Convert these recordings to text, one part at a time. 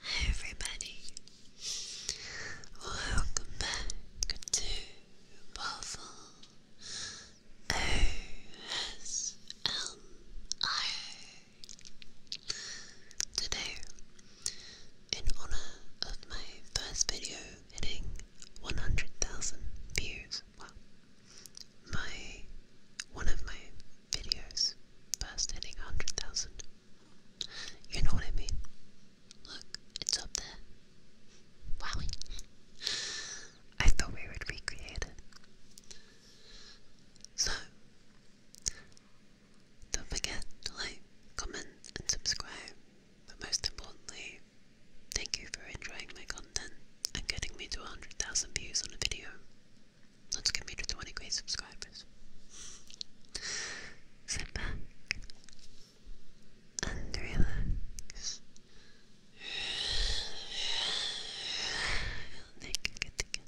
Hi everybody, welcome back to Waffle Today, in honor of my first video hitting 100,000 views, well, my one of my videos past hitting 100,000. You know what I mean? Look, it's up there. Wow. I thought we would recreate it. So, don't forget to like, comment, and subscribe. But most importantly, thank you for enjoying my content and getting me to 100,000 views on a video. Let's get me to 20 great subscribers. Sit back and relax. Think it again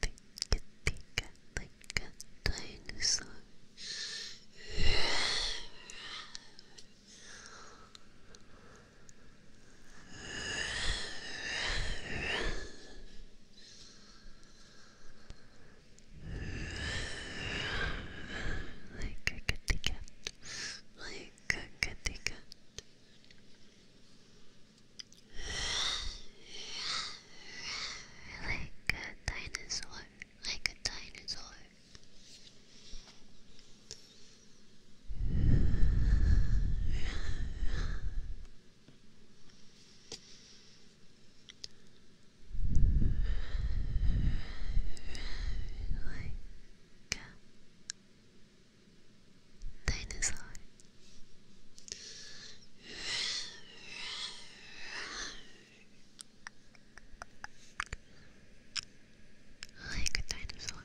think it, think it like a dinosaur. Like a kitty like a kitty like a dinosaur, like a dinosaur. Like a Dinosaur. Like a dinosaur.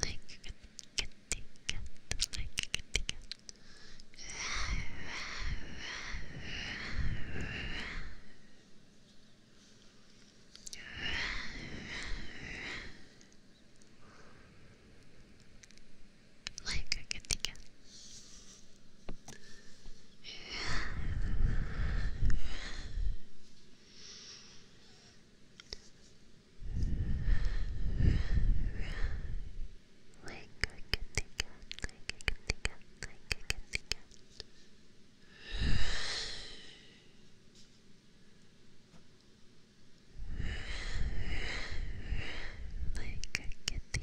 Like a kitty cat, like a kitty cat. Like I can think of. Right. Like I can think of, like I can like I can Like I can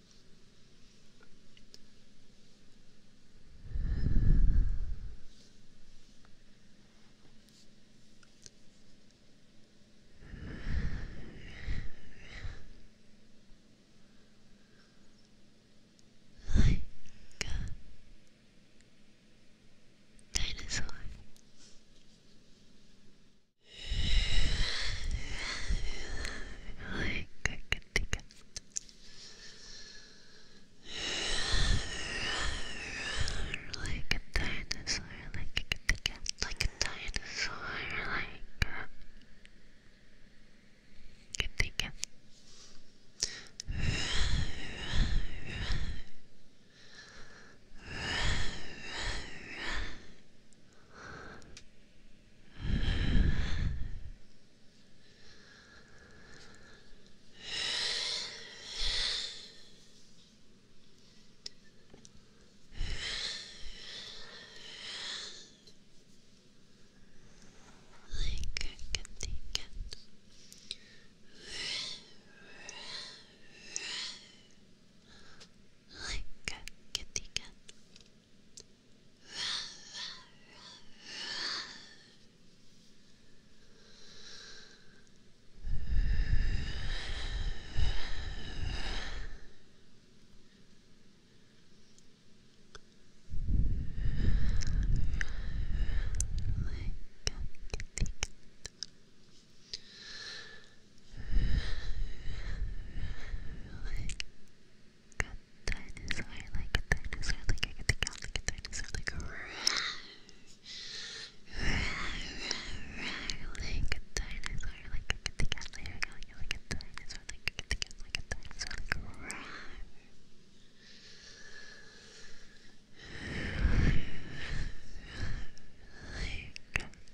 Like a dinosaur. Like a dinosaur, like a cat, like a dinosaur, like a kitty cat. Like a Like I can take it like a the cat. Like a kitty cat. Like a dinosaur, like a dinosaur, like I can think out like a dinosaur, like a like a dinosaur, like I can think out like a dinosaur, like a dinosaur, like I can think out like a dinosaur, like a like a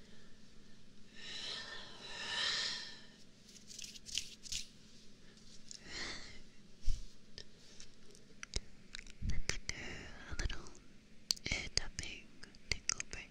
Let's do a little ear tapping tingle break.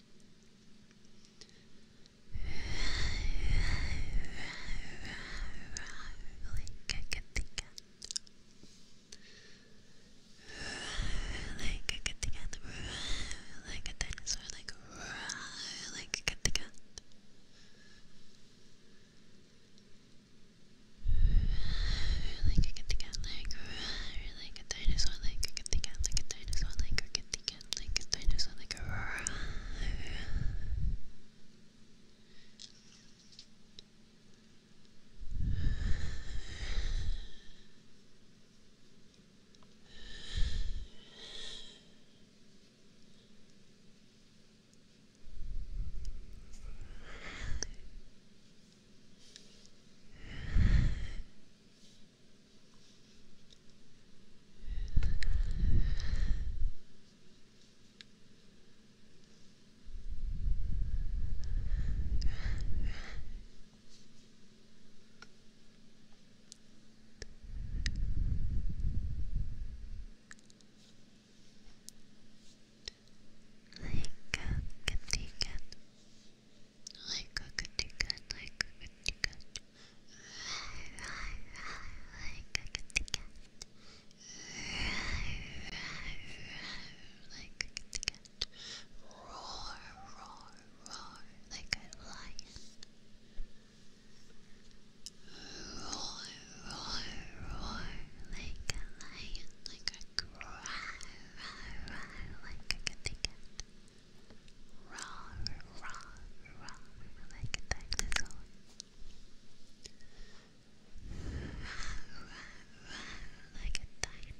Like I can think Like a kitty cat, like a dinosaur, like a kitty cat. Like a kitty cat, like a dinosaur, like a kitty cat, like a dinosaur, like a kitty thinking like a dinosaur, like a roar. Like a like a kitty cat, like a kitty cat. Right, right, right, like a kitty cat. Right, right, right, like a kitty cat. Roar, roar, roar, like a lion. Roar, roar, roar, like a lion, like a cry, roar, roar, like a kitty cat. Roar, roar, roar, roar, like a kitty cat raw, raw, raw, like a dinosaur. Raw, raw, like a dinosaur.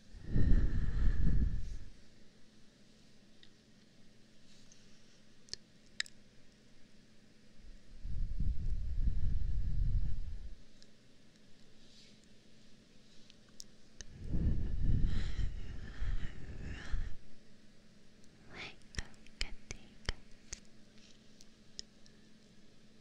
Like a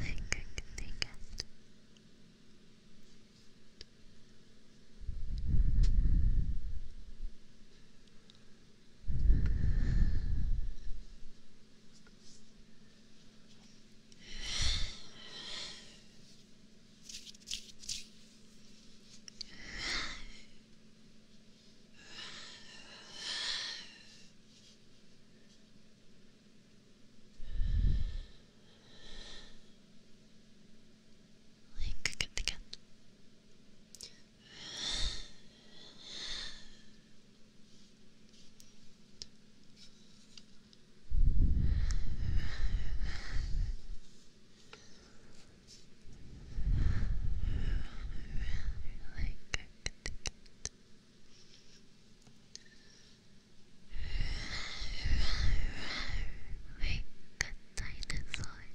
Like I can like a the cat really like it. Like a dinosaur. Like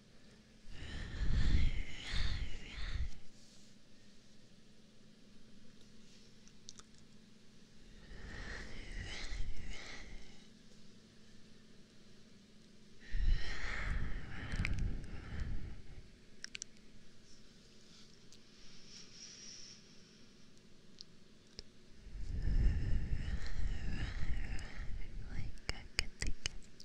Like I can think it.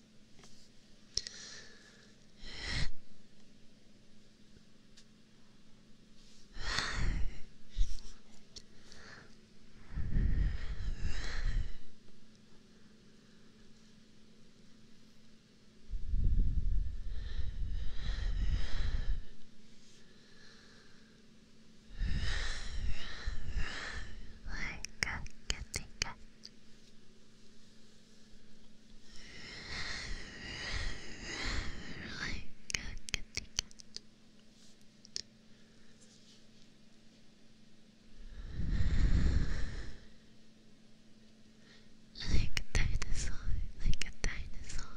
Like a kitty like a dinosaur, like a dinosaur.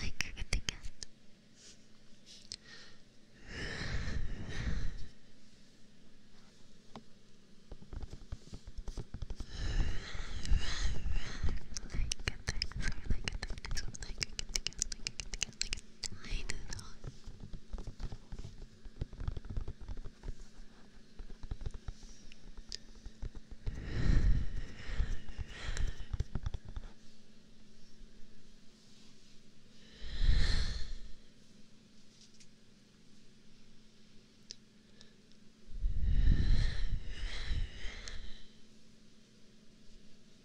Like at the Like at the next like at the next like at the like at the and like a tiny dot.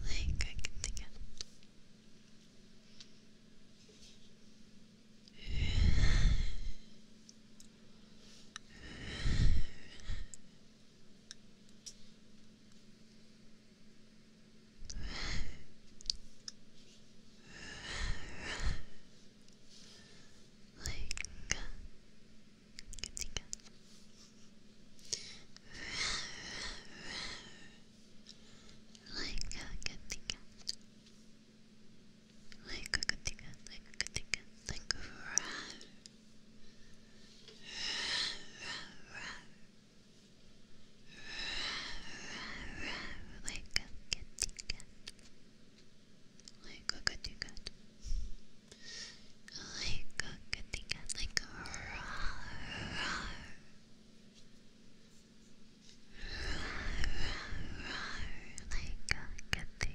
Like I can think of. Like Katika Like a katika Like a katika Like a katika Like a row like a kitty cat, like a kitty cat, like a good like a roar, like a good thing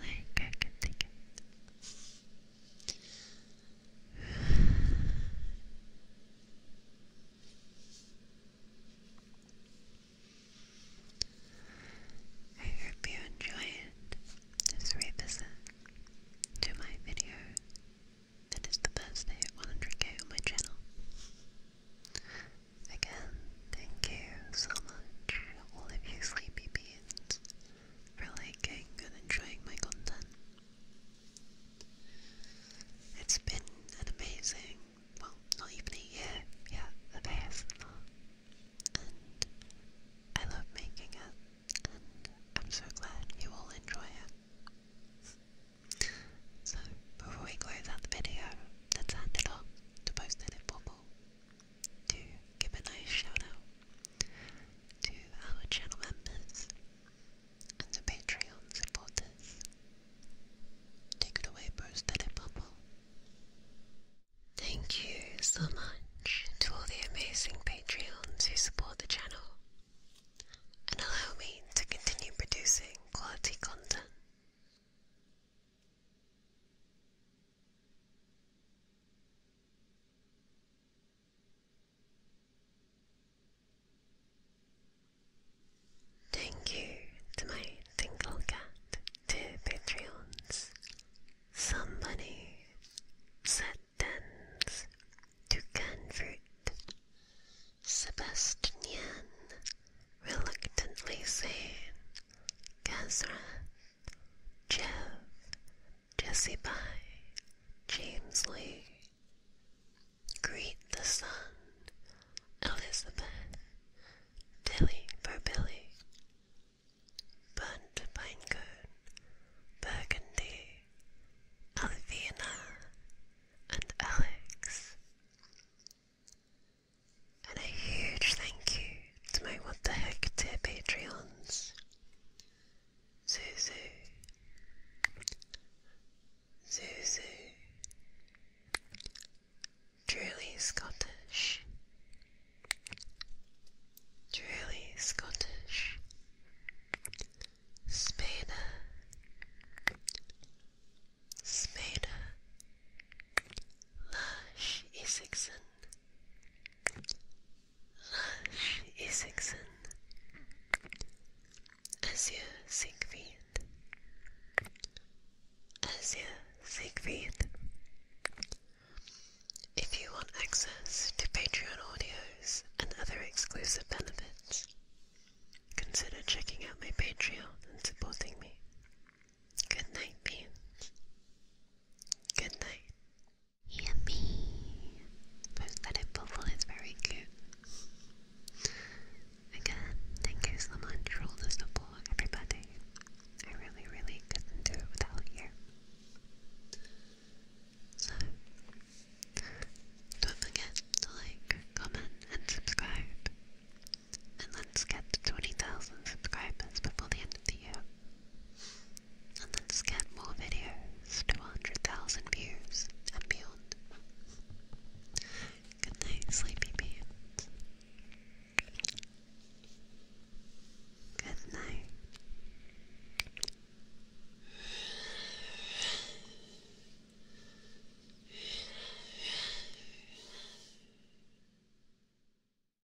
Like I can think of I hope you enjoyed this revisit to my video that is the first day at 100k on my channel. Again, thank you so much, all of you sleepy for liking and enjoying my content. It's been an amazing, well, not even a yeah, of ASMR, and I love making it, I'm so glad you all enjoy it. So, before we close out the video, let's hand it off to post Bubble to give a nice shout out to our channel members and the Patreon supporters. Take it away, Bruce Bubble. Thank you so much to all the amazing Patreons who support the channel and allow me to continue producing quality content. Thank you to my tinkle Cat, two Patreons, somebody, Satans, Toucan Fruit, Sebastian, Reluctantly Sane, Gazrat, Jeff, Jesse Pye, James Lee. Greet the Sun, Elizabeth, Dilly Burbilly, Bunt Pinecone, Burgundy, Alvina, and Alex. And a huge thank you to my What the Heck tier Patreons Zuzu, Zuzu, Truly Scottish, Truly Scottish, Spada, Spada, Lush Isakson, Isakson, If you want access to Patreon audios and other exclusive benefits, consider checking out my Patreon and supporting me. Good night, babe. Good night. Yummy! Prosthetic bubble is very cute. Again, thank you so much for all the support, everybody. I really, really couldn't do it without you. So, don't forget to like, comment, and subscribe. And let's get 20,000 subscribers before the end of the year, and then scan more videos to 100,000 views and beyond. Good night, sleepy Good night.